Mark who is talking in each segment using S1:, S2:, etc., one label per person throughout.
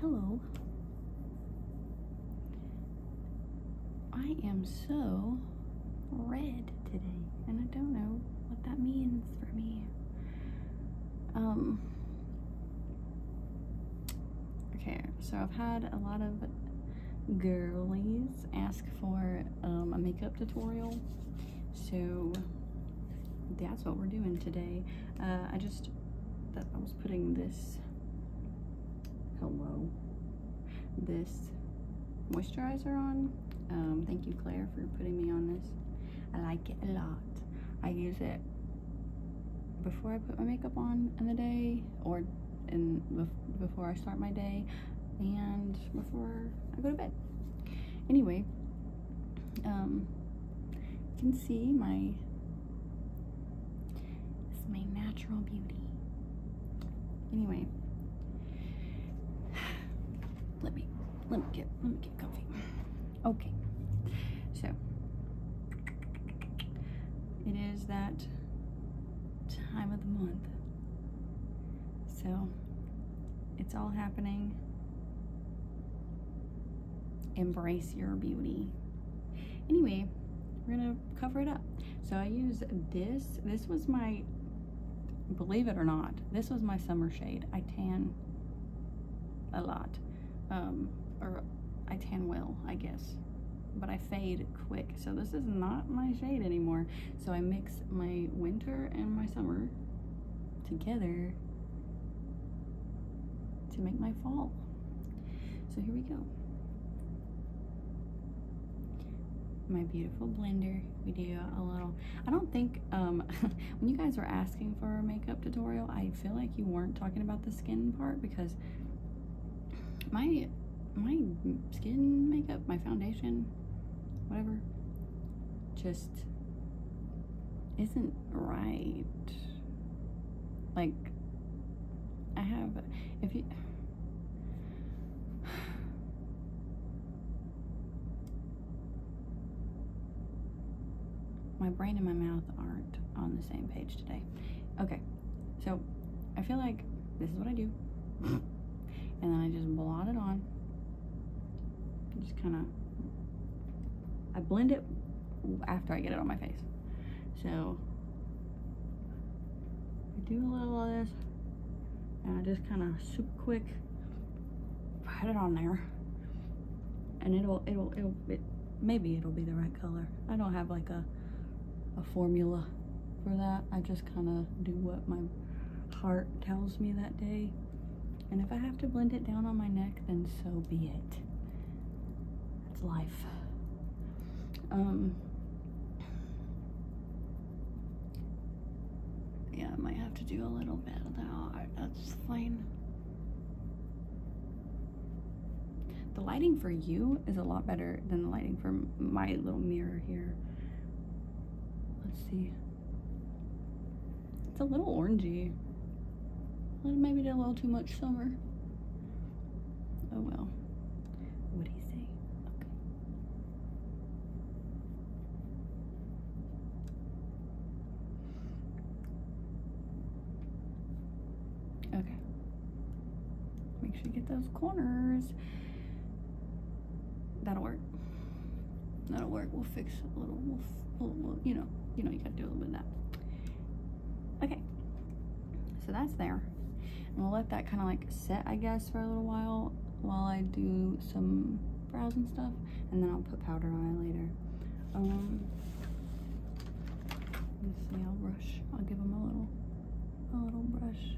S1: Hello. I am so red today, and I don't know what that means for me. Um. Okay, so I've had a lot of girlies ask for um, a makeup tutorial so that's what we're doing today. Uh, I just, I was putting this, hello, this moisturizer on. Um, thank you, Claire, for putting me on this. I like it a lot. I use it before I put my makeup on in the day or in before I start my day and before I go to bed. Anyway, um, you can see my, my natural beauty. Anyway, let me, let me get, let me get comfy. Okay, so it is that time of the month so it's all happening. Embrace your beauty. Anyway, we're gonna cover it up. So I use this. This was my, believe it or not, this was my summer shade. I tan a lot, um, or I tan well, I guess but I fade quick. So this is not my shade anymore. So I mix my winter and my summer together to make my fall. So here we go. My beautiful blender. We do a little, I don't think, um, when you guys were asking for a makeup tutorial, I feel like you weren't talking about the skin part because my, my skin makeup, my foundation, whatever, just isn't right. Like, I have, if you, my brain and my mouth aren't on the same page today. Okay, so I feel like this is what I do. and then I just blot it on. Just kind of I blend it after I get it on my face. So I do a little of this and I just kind of super quick put it on there and it'll, it'll, it'll, it, maybe it'll be the right color. I don't have like a, a formula for that. I just kind of do what my heart tells me that day. And if I have to blend it down on my neck, then so be it. That's life. Um, yeah, I might have to do a little bit of that. That's fine. The lighting for you is a lot better than the lighting for my little mirror here. Let's see. It's a little orangey. Maybe did a little too much summer. Oh well. What do you say? Okay. Okay. Make sure you get those corners. That'll work. That'll work. We'll fix a little. We'll, you know, you know, you gotta do a little bit of that. Okay. So that's there. And we'll let that kind of like set, I guess, for a little while while I do some brows and stuff, and then I'll put powder on it later. Um, let's see. I'll brush. I'll give them a little, a little brush.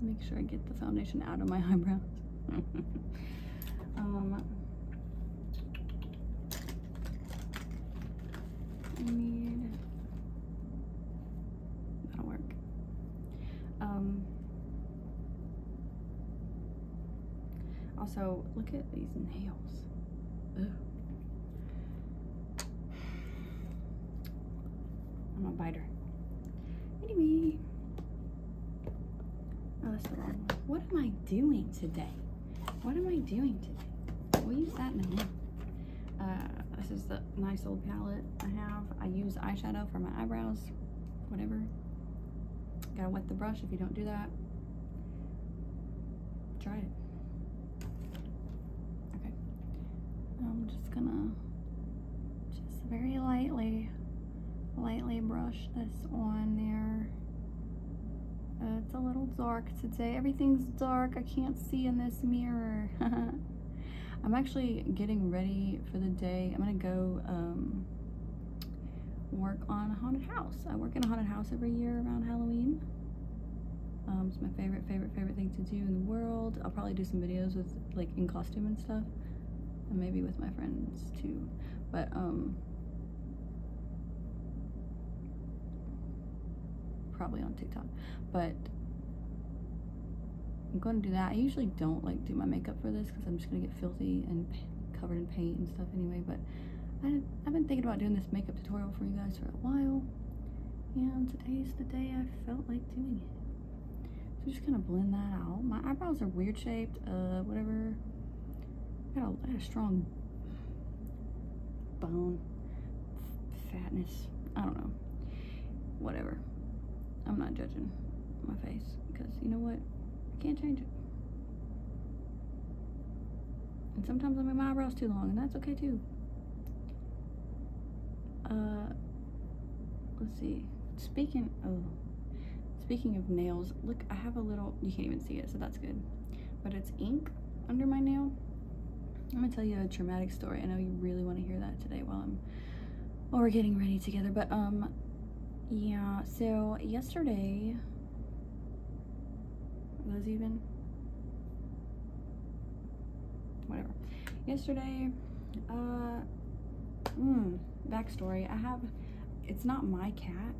S1: Make sure I get the foundation out of my eyebrows. Um, that'll work. Um, also, look at these nails. I'm a biter. Anyway. Oh, what am I doing today? What am I doing today? We'll use that in a Uh, this is the nice old palette I have. I use eyeshadow for my eyebrows, whatever. Gotta wet the brush if you don't do that. Try it. I'm just gonna just very lightly lightly brush this on there. Uh, it's a little dark today. Everything's dark. I can't see in this mirror. I'm actually getting ready for the day. I'm going to go um, work on a haunted house. I work in a haunted house every year around Halloween. Um, it's my favorite, favorite, favorite thing to do in the world. I'll probably do some videos with like in costume and stuff maybe with my friends too but um, probably on tiktok but i'm gonna do that i usually don't like do my makeup for this because i'm just gonna get filthy and covered in paint and stuff anyway but i've been thinking about doing this makeup tutorial for you guys for a while and today's the day i felt like doing it so just kind of blend that out. My eyebrows are weird shaped, uh, whatever. got a, I got a strong bone fatness. I don't know. Whatever. I'm not judging my face because you know what? I can't change it. And sometimes I make my eyebrows too long and that's okay too. Uh, let's see speaking oh speaking of nails look i have a little you can't even see it so that's good but it's ink under my nail i'm gonna tell you a traumatic story i know you really want to hear that today while i'm while we're getting ready together but um yeah so yesterday was even whatever yesterday uh mm, backstory, I have, it's not my cat.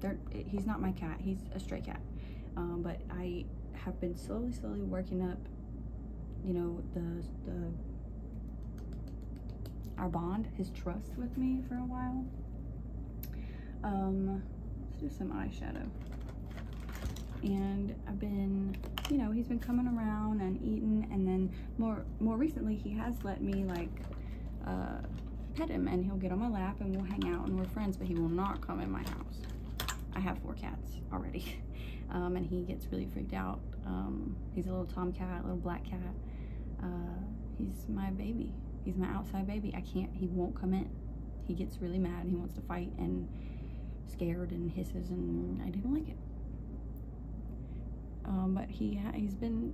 S1: they he's not my cat. He's a stray cat. Um, but I have been slowly, slowly working up, you know, the, the, our bond, his trust with me for a while. Um, let's do some eyeshadow. And I've been, you know, he's been coming around and eating and then more more recently he has let me like uh, pet him and he'll get on my lap and we'll hang out and we're friends, but he will not come in my house. I have four cats already. Um, and he gets really freaked out. Um, he's a little tomcat, a little black cat. Uh, he's my baby. He's my outside baby. I can't, he won't come in. He gets really mad he wants to fight and scared and hisses and I didn't like it. Um, but he he's been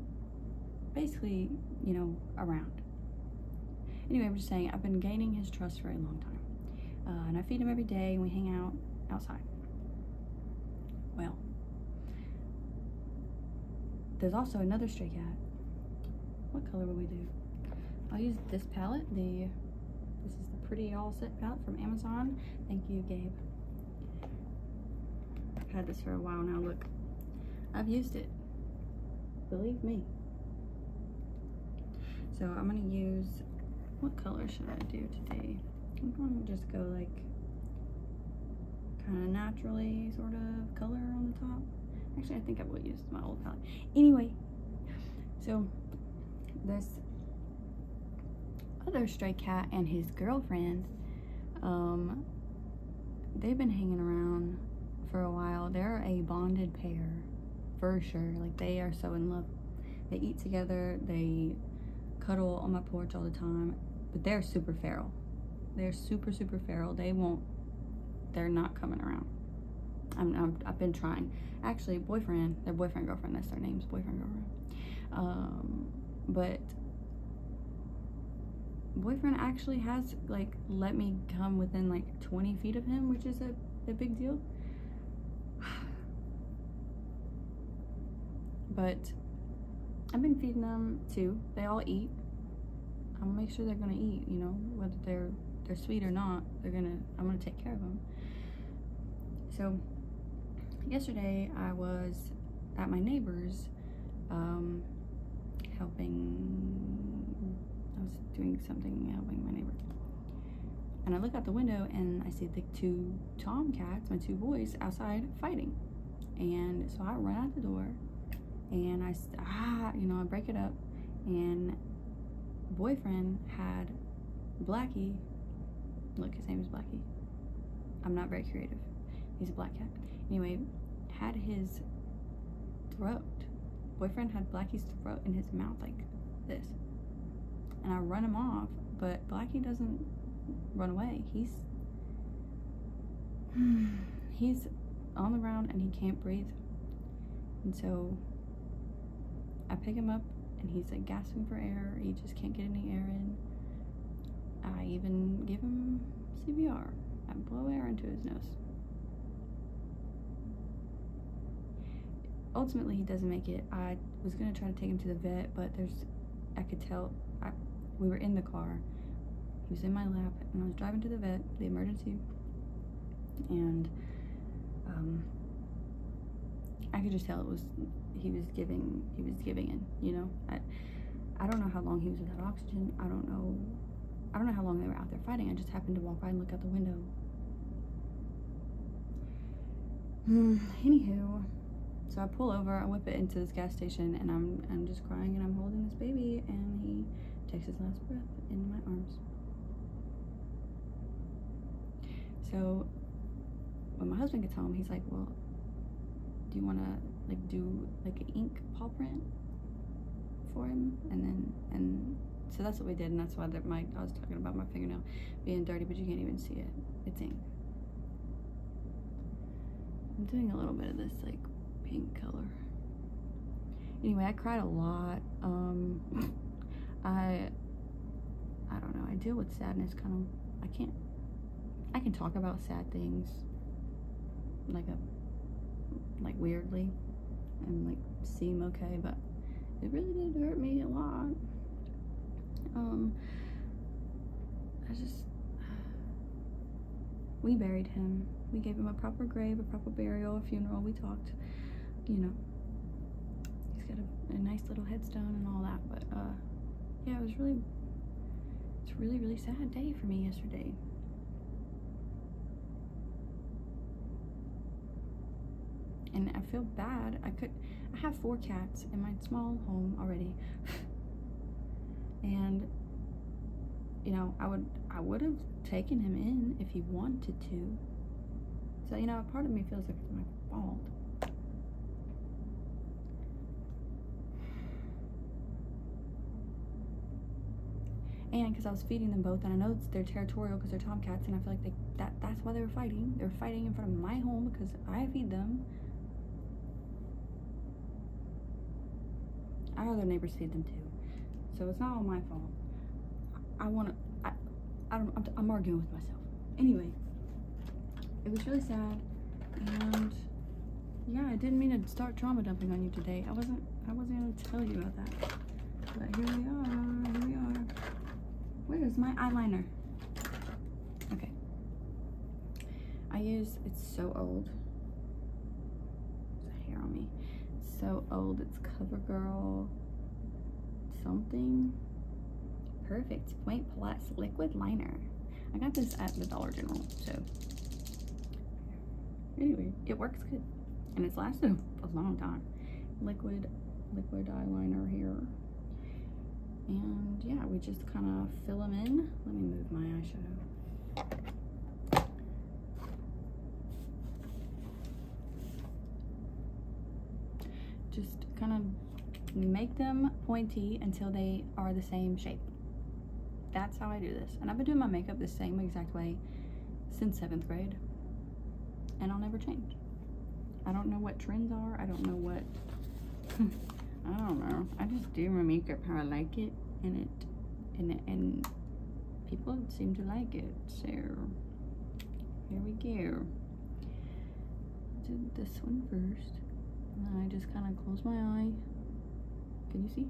S1: basically, you know, around. Anyway, I'm just saying, I've been gaining his trust for a long time. Uh, and I feed him every day and we hang out outside. Well, there's also another stray cat. What color will we do? I'll use this palette, the, this is the Pretty All Set palette from Amazon. Thank you, Gabe. I've had this for a while now. Look, I've used it. Believe me. So I'm going to use, what color should I do today? I'm going to just go like kind of naturally sort of color on the top. Actually, I think I will use my old palette. Anyway, so this other stray cat and his girlfriend. Um, they've been hanging around for a while. They're a bonded pair for sure. Like they are so in love. They eat together. They cuddle on my porch all the time. But they're super feral. They're super, super feral. They won't, they're not coming around. I'm, i have been trying. Actually, boyfriend, their boyfriend, girlfriend, that's their names, boyfriend, girlfriend. Um, but boyfriend actually has like let me come within like 20 feet of him which is a, a big deal but I've been feeding them too they all eat I'll make sure they're gonna eat you know whether they're they're sweet or not they're gonna I'm gonna take care of them so yesterday I was at my neighbor's um, helping, I was doing something, helping my neighbor. And I look out the window and I see the two tomcats, my two boys, outside fighting. And so I run out the door and I, ah, you know, I break it up. And boyfriend had Blackie Look, his name is Blackie. I'm not very creative. He's a black cat. Anyway, had his throat. Boyfriend had Blackie's throat in his mouth like this. And I run him off, but Blackie doesn't run away. He's he's on the ground and he can't breathe. And so I pick him up and he's like gasping for air. He just can't get any air in. I even give him CBR. I blow air into his nose. Ultimately, he doesn't make it. I was gonna try to take him to the vet, but there's, I could tell, I, we were in the car. He was in my lap, and I was driving to the vet, the emergency, and um, I could just tell it was he was giving he was giving in you know I, I don't know how long he was without oxygen I don't know I don't know how long they were out there fighting I just happened to walk by and look out the window mm, anywho so I pull over I whip it into this gas station and I'm I'm just crying and I'm holding this baby and he takes his last breath in my arms so when my husband gets home, he's like, well, do you want to like do like an ink paw print for him? And then, and so that's what we did. And that's why that my, I was talking about my fingernail being dirty, but you can't even see it. It's ink. I'm doing a little bit of this like pink color. Anyway, I cried a lot. Um, I, I don't know. I deal with sadness kind of, I can't I can talk about sad things, like a, uh, like weirdly, and like seem okay, but it really did hurt me a lot. Um, I just, we buried him. We gave him a proper grave, a proper burial, a funeral. We talked, you know, he's got a, a nice little headstone and all that, but, uh, yeah, it was really, it's really, really sad day for me yesterday. And I feel bad. I could, I have four cats in my small home already. and, you know, I would, I would have taken him in if he wanted to. So, you know, a part of me feels like it's my fault. And because I was feeding them both, and I know they're territorial because they're tomcats, and I feel like they, that that's why they were fighting. They were fighting in front of my home because I feed them. Our other neighbors feed them too, so it's not all my fault. I, want to. I, I don't. I'm arguing with myself. Anyway, it was really sad and yeah i didn't mean to start trauma dumping on you today i wasn't i wasn't going to tell you about that but here we are here we are where is my eyeliner okay i use it's so old there's hair on me so old it's covergirl something perfect point plus liquid liner I got this at the Dollar General, so anyway, it works good. And it's lasted a long time. Liquid, liquid eyeliner here. And yeah, we just kind of fill them in. Let me move my eyeshadow. just kind of make them pointy until they are the same shape. That's how I do this. And I've been doing my makeup the same exact way since seventh grade. And I'll never change. I don't know what trends are. I don't know what, I don't know. I just do my makeup how I like it and it, and, and people seem to like it. So here we go. Do this one first. And I just kind of close my eye. Can you see?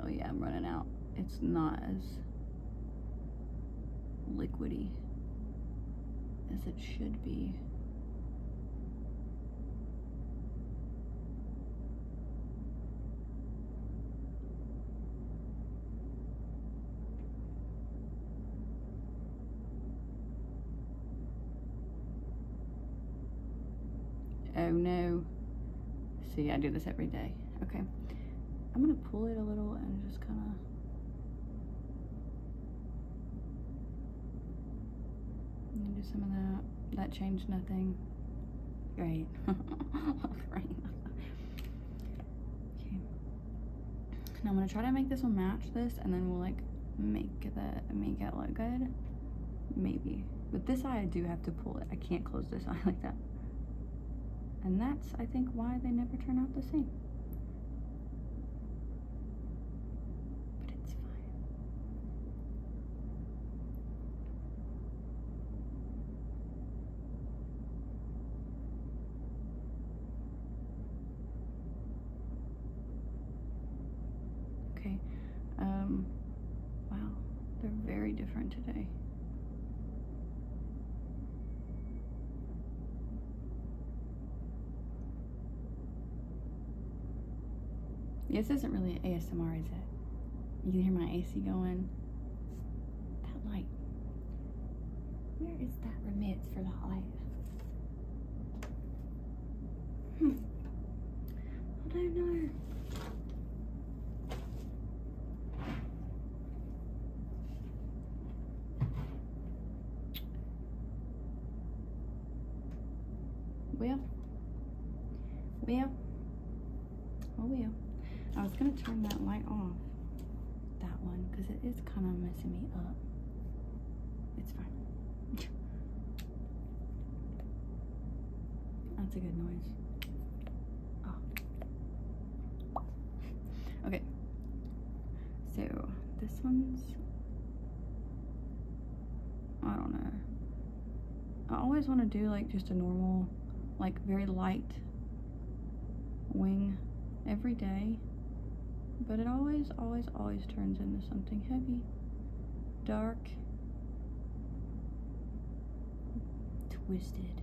S1: Oh yeah, I'm running out. It's not as liquidy as it should be. Oh no. See, I do this every day. Okay. I'm gonna pull it a little and just kind of do some of that. That changed nothing. Great. Great. okay. I'm gonna try to make this one match this and then we'll like make the make it look good. Maybe. But this eye I do have to pull it. I can't close this eye like that. And that's I think why they never turn out the same. But it's fine. Okay. Um, wow, they're very different today. This isn't really ASMR, is it? You can hear my AC going that light. Where is that remits for that light? Hmm. I don't know. Well, well, Oh well. I was going to turn that light off, that one because it is kind of messing me up. It's fine. That's a good noise. Oh. Okay. So this one's. I don't know. I always want to do like just a normal, like very light wing every day, but it always, always, always turns into something heavy, dark, twisted.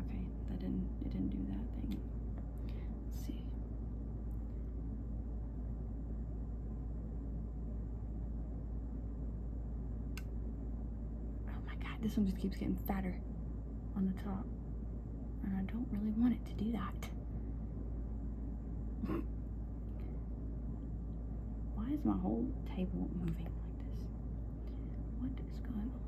S1: Okay, that didn't, it didn't do that thing. see. Oh my god, this one just keeps getting fatter on the top and I don't really want it to do that. Why is my whole table moving like this? What is going on?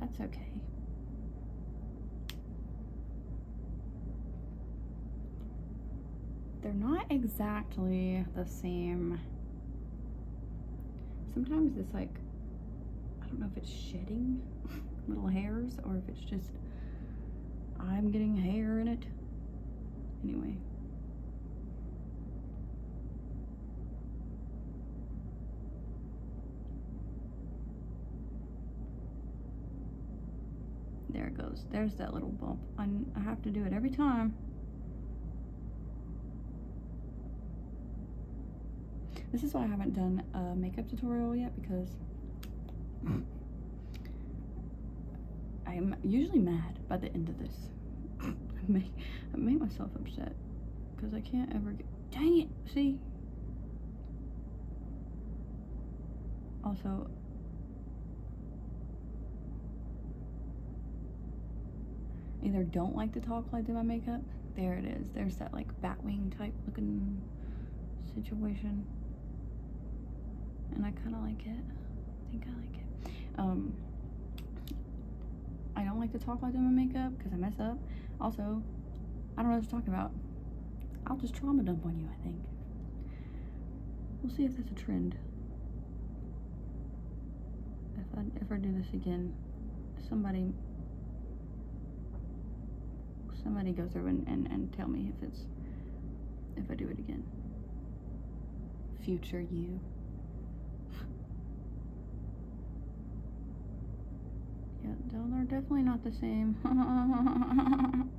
S1: That's okay. They're not exactly the same. Sometimes it's like, I don't know if it's shedding little hairs or if it's just, I'm getting hair in it. Anyway. There it goes. There's that little bump. i have to do it every time. This is why I haven't done a makeup tutorial yet because I'm usually mad by the end of this. I make, I make myself upset because I can't ever get, dang it, see? Also, either don't like to talk while I do my makeup. There it is. There's that like bat wing type looking situation and I kind of like it. I think I like it. Um, I don't like to talk about doing my makeup because I mess up. Also, I don't know what to talk about. I'll just trauma dump on you, I think. We'll see if that's a trend. If I, ever do this again, somebody somebody go through and, and, and tell me if it's if I do it again. Future you. yeah, they're definitely not the same.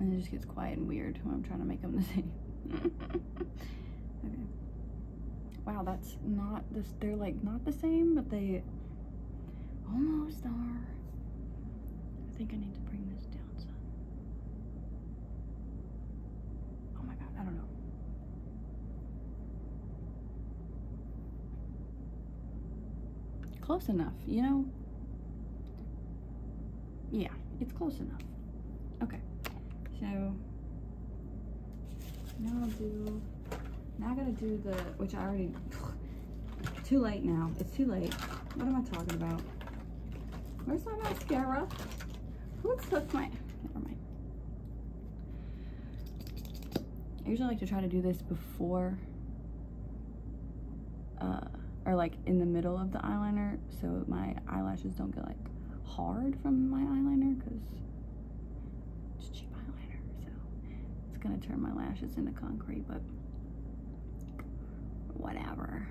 S1: And it just gets quiet and weird when I'm trying to make them the same. okay. Wow, that's not this. They're like not the same, but they almost are. I think I need to bring this down some. Oh my god, I don't know. Close enough, you know? Yeah, it's close enough. Okay, so now I'll do, now I gotta do the, which I already, too late now. It's too late. What am I talking about? Where's my mascara? What's with my, never mind. I usually like to try to do this before uh, or like in the middle of the eyeliner so my eyelashes don't get like hard from my eyeliner because it's cheap eyeliner so it's gonna turn my lashes into concrete but whatever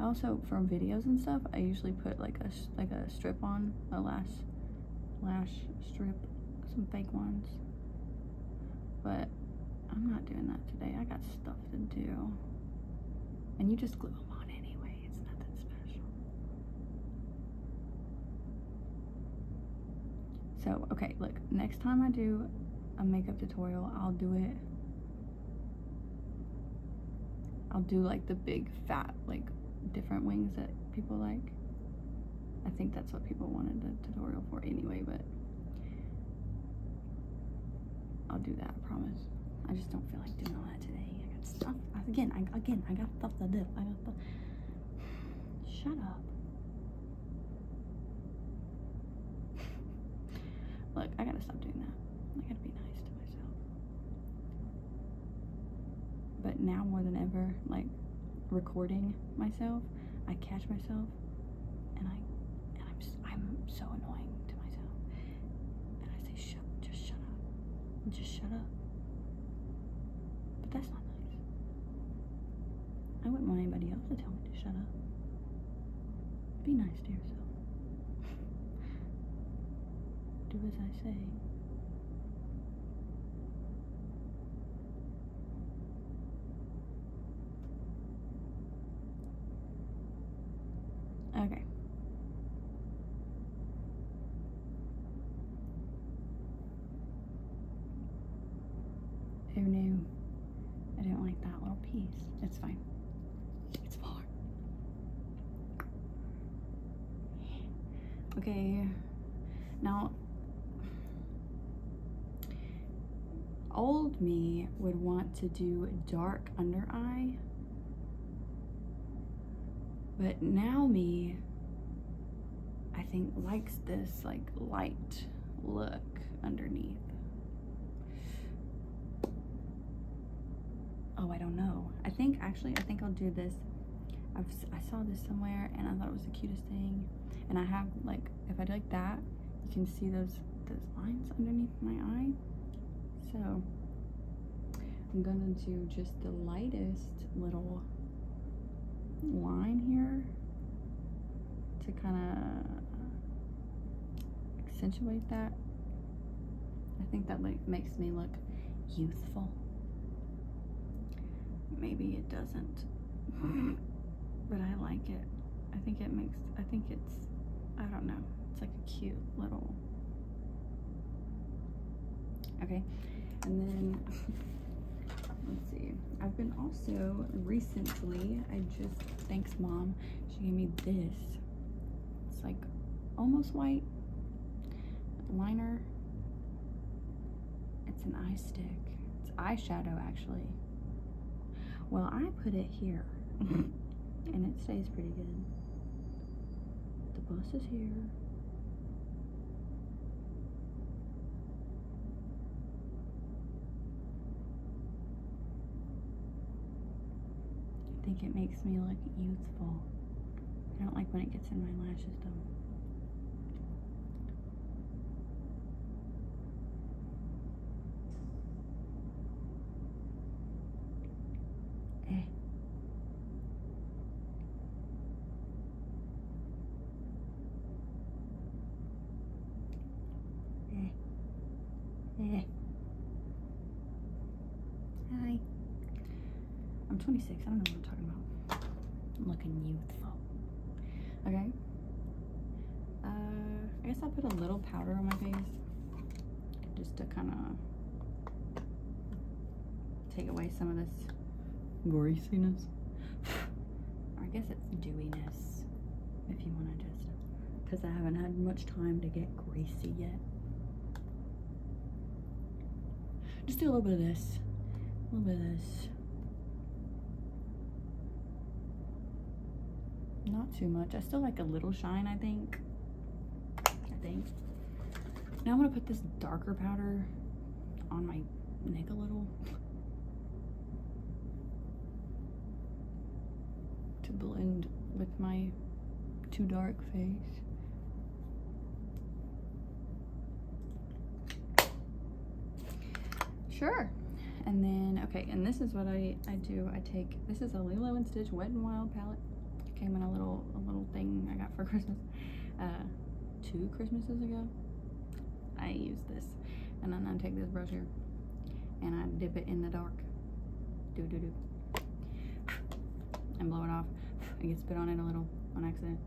S1: also for videos and stuff I usually put like a like a strip on a lash lash strip, some fake ones. But I'm not doing that today. I got stuff to do. And you just glue them on anyway. It's nothing special. So, okay, look. Next time I do a makeup tutorial, I'll do it. I'll do like the big fat, like different wings that people like. I think that's what people wanted a tutorial for anyway, but I'll do that, I promise. I just don't feel like doing all that today. I got stuff. Again, I, again, I got stuff to do. I got stuff. Shut up. Look, I gotta stop doing that. I gotta be nice to myself but now more than ever, like recording myself, I catch myself and I and I'm I'm so annoying to myself. And I say shut just shut up. Just shut up. But that's not nice. I wouldn't want anybody else to tell me to shut up. Be nice to yourself. Do as I say. Okay. Who oh, knew? I did not like that little piece. It's fine. It's far. Okay, now old me would want to do dark under eye but now me I think likes this like light look underneath oh I don't know I think actually I think I'll do this i saw this somewhere and I thought it was the cutest thing. And I have like, if I do like that, you can see those, those lines underneath my eye. So I'm gonna do just the lightest little line here to kind of accentuate that. I think that like makes me look youthful. Maybe it doesn't, but I like it. I think it makes, I think it's, I don't know, it's like a cute little, okay, and then, let's see, I've been also, recently, I just, thanks mom, she gave me this, it's like almost white liner, it's an eye stick. It's eyeshadow, actually. Well, I put it here, and it stays pretty good. The bus is here. I think it makes me look youthful. I don't like when it gets in my lashes though. Eh. Eh. Eh. Hi. I'm 26. I don't know what I'm talking about. looking you. Oh. Okay. Uh, I guess I'll put a little powder on my face just to kind of take away some of this greasiness. I guess it's dewiness if you want to just because I haven't had much time to get greasy yet. Just do a little bit of this, a little bit of this. Not too much. I still like a little shine, I think. I think. Now I'm going to put this darker powder on my neck a little. to blend with my too dark face. Sure. And then, okay, and this is what I, I do. I take, this is a Lilo & Stitch Wet and Wild palette. came in a little, a little thing I got for Christmas, uh, two Christmases ago. I use this. And then I take this brush here and I dip it in the dark. Do, do, do. And blow it off. I get spit on it a little on accident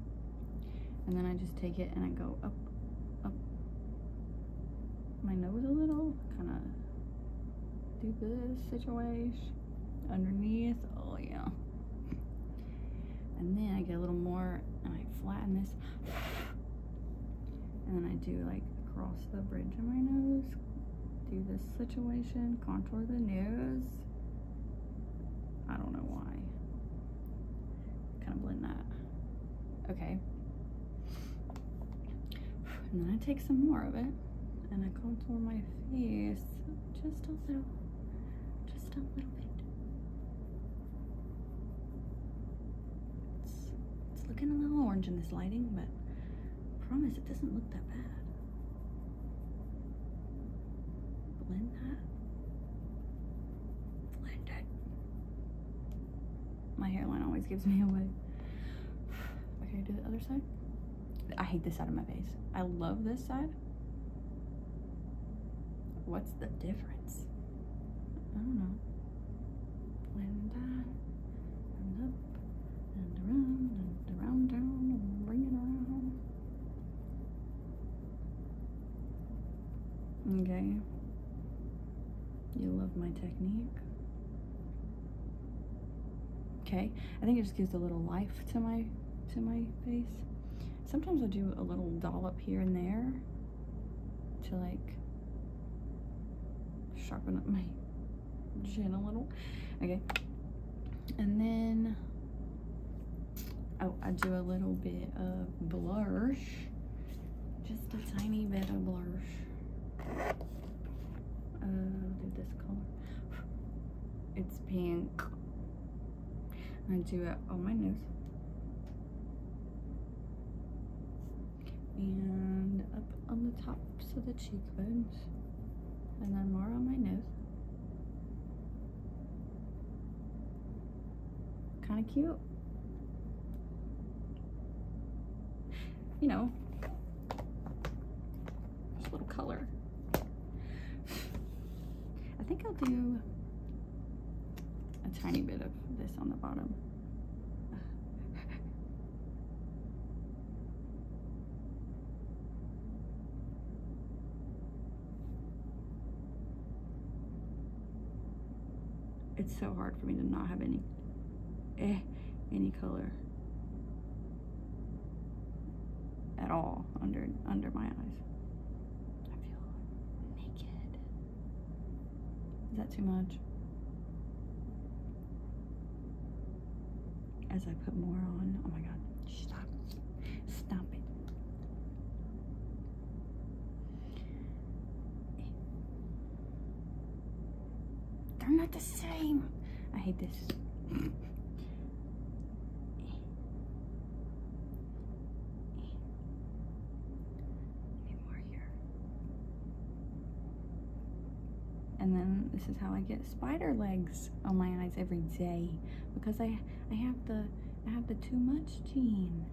S1: and then I just take it and I go up, up my nose a little, kind of do this situation underneath. Oh yeah. And then I get a little more and I flatten this. And then I do like across the bridge of my nose. Do this situation, contour the nose. I don't know why. Kind of blend that. Okay. And then I take some more of it and I contour my face just a little, just a little bit. It's, looking a little orange in this lighting, but promise it doesn't look that bad. blend that my hairline always gives me away. Okay, do the other side. I hate this side of my face. I love this side. What's the difference? I don't know. Okay. You love my technique. Okay. I think it just gives a little life to my to my face. Sometimes I'll do a little dollop here and there to like sharpen up my chin a little. Okay. And then Oh, I do a little bit of blush. Just a tiny bit of blush. Uh, do this color. It's pink. I do it on my nose. And up on the tops of the cheekbones. And then more on my nose. Kind of cute. You know, just a little color. I think I'll do a tiny bit of this on the bottom. It's so hard for me to not have any, eh, any color at all under under my eyes. I feel naked. Is that too much? As I put more on, oh my god, stop, stop it. They're not the same. I hate this. and then this is how I get spider legs on my eyes every day because I I have the I have the too much gene.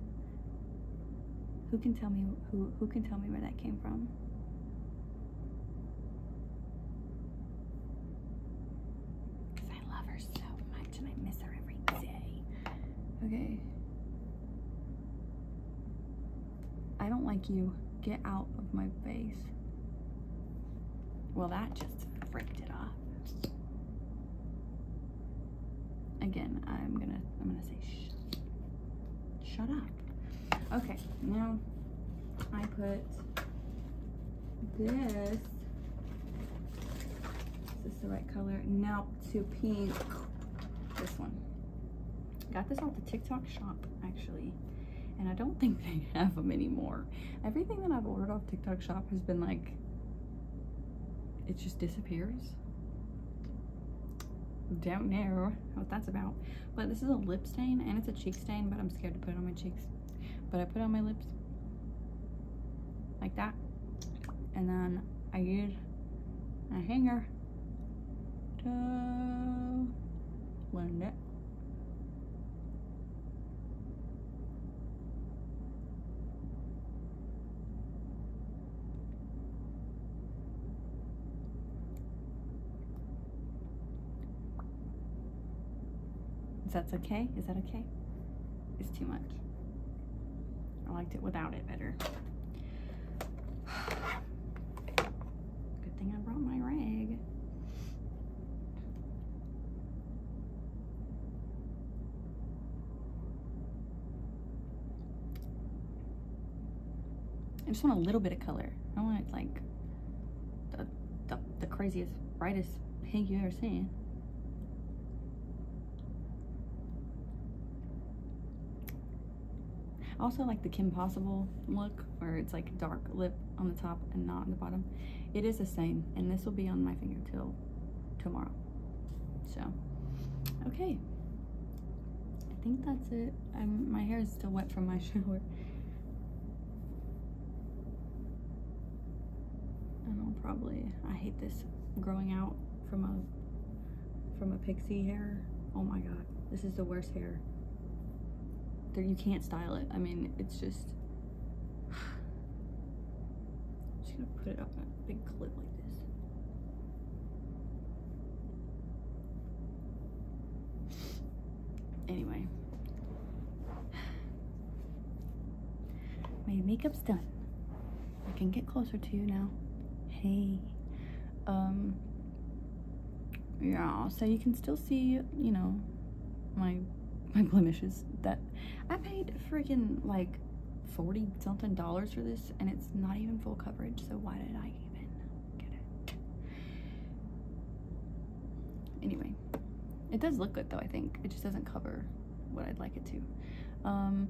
S1: Who can tell me who who can tell me where that came from? Cause I love her so much and I miss her every day. Okay. I don't like you. Get out of my face. Well, that just freaked it off. Again, I'm gonna I'm gonna say shut up. Okay, now I put this. Is this the right color? Now to pink. This one. Got this off the TikTok shop actually and I don't think they have them anymore. Everything that I've ordered off TikTok shop has been like it just disappears. Don't know what that's about. But this is a lip stain and it's a cheek stain, but I'm scared to put it on my cheeks. But I put it on my lips like that. And then I use a hanger to blend it. Is that okay? Is that okay? It's too much. I liked it without it better. Good thing I brought my rag. I just want a little bit of color. I want like the, the, craziest, brightest pink you ever seen. I also like the Kim Possible look where it's like dark lip on the top and not on the bottom. It is the same and this will be on my finger till tomorrow. So, okay. I think that's it. my hair is still wet from my shower. And I'll probably, I hate this growing out from a, from a pixie hair. Oh my God, this is the worst hair. There, you can't style it. I mean, it's just, just gonna put it up big clip like this. Anyway, my makeup's done. I can get closer to you now. Hey, um, yeah. So you can still see, you know, my my blemishes that I paid freaking like 40 something dollars for this and it's not even full coverage so why did I even get it anyway it does look good though I think it just doesn't cover what I'd like it to um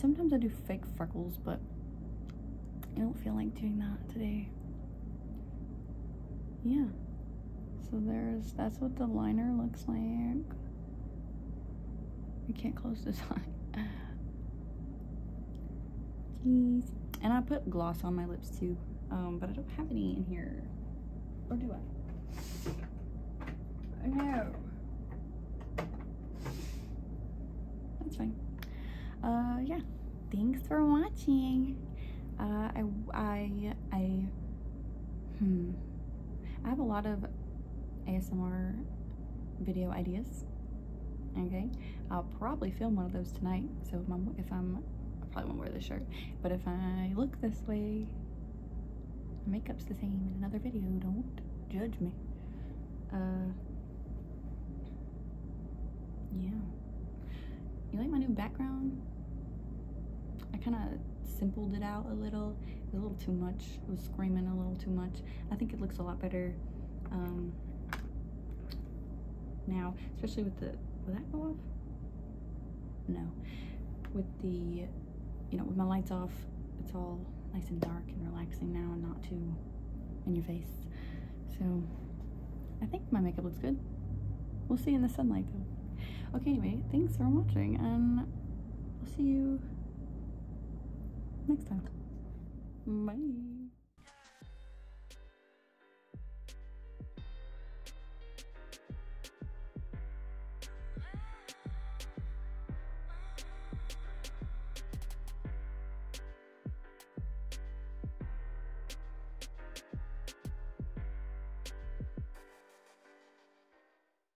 S1: sometimes I do fake freckles but I don't feel like doing that today yeah so there's that's what the liner looks like I can't close this eye. Jeez. And I put gloss on my lips too, um, but I don't have any in here. Or do I? Oh no. That's fine. Uh, yeah. Thanks for watching. Uh, I, I, I, hmm. I have a lot of ASMR video ideas. Okay, I'll probably film one of those tonight. So if I'm, if I'm probably won't wear this shirt, but if I look this way, my makeup's the same in another video. Don't judge me. Uh, yeah. You like my new background? I kind of simplified it out a little. It was a little too much was screaming a little too much. I think it looks a lot better um, now, especially with the, will that go off? No. With the, you know, with my lights off, it's all nice and dark and relaxing now and not too in your face. So I think my makeup looks good. We'll see in the sunlight though. Okay, anyway, thanks for watching and I'll see you next time. Bye.